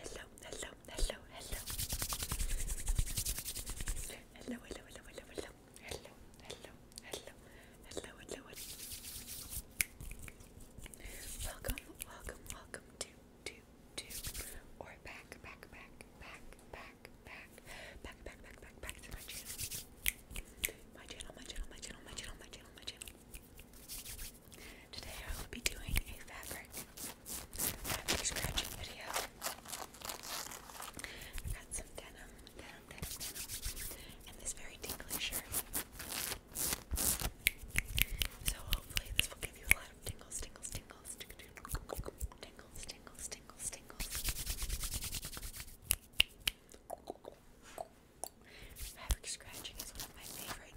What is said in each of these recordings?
Hello, hello, hello, hello. Hello, hello, hello, hello, hello. Hello, hello, hello, hello, hello, hello. Welcome, welcome, welcome to, to, to, or back, back, back, back, back, back, back, back, back, back, back to my channel. My channel, my channel, my channel, my channel, my channel, my channel. Today I will be doing a fabric fabric scratching video. I've got some denim, denim, denim, and this very tingly shirt. So hopefully this will give you a lot of tingles, tingles, tingles, tingles, tingles, tingles, tingles, tingles. Fabric scratching is one of my favorite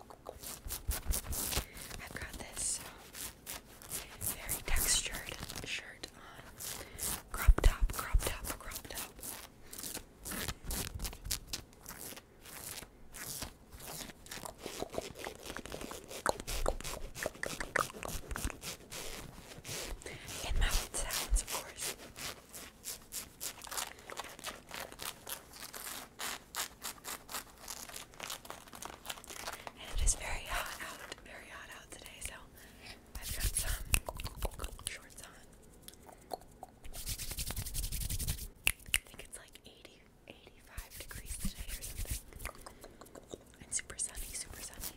I've got this very textured shirt on. Crop top, crop top, crop top. And mouth sounds, of course it is very hot out, very hot out today, so I've got some shorts on. I think it's like 80, 85 degrees today or something. And super sunny, super sunny.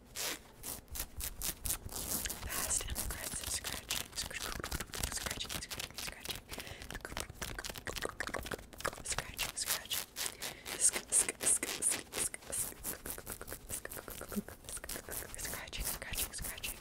Fast and aggressive scratching, scratching, scratching, scratching, scratching, scratching. Scratching, scratching, scratching.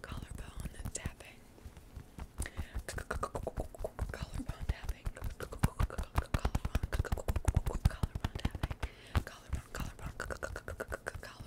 Collarbone tapping. Collarbone tapping. Collarbone, collarbone tapping. Collarbone, collarbone, collarbone tapping.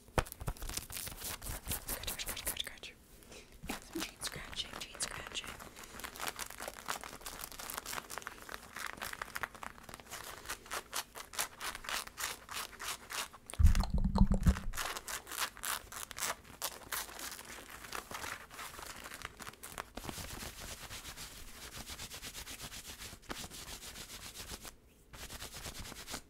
Scratch, scratch, scratch, scratch. Got some chain scratching, chain scratching. Okay,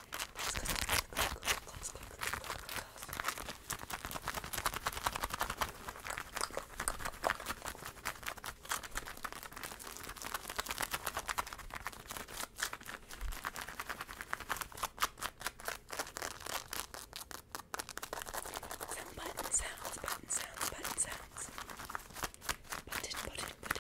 Some button sounds, button sounds, button sounds. Button, button, button,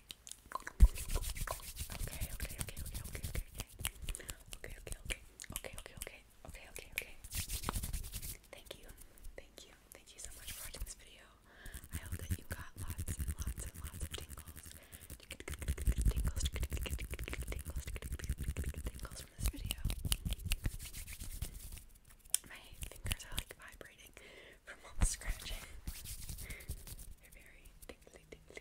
Okay, okay, okay, okay, okay, okay, okay, okay, okay, okay, okay, okay, okay, Thank you, thank you, thank you so much for watching this video. I hope that you got lots and lots and lots of tingles, tingles, tingles, tingles from this video. My fingers are like vibrating from all the scratching. They're very tingly, tingly,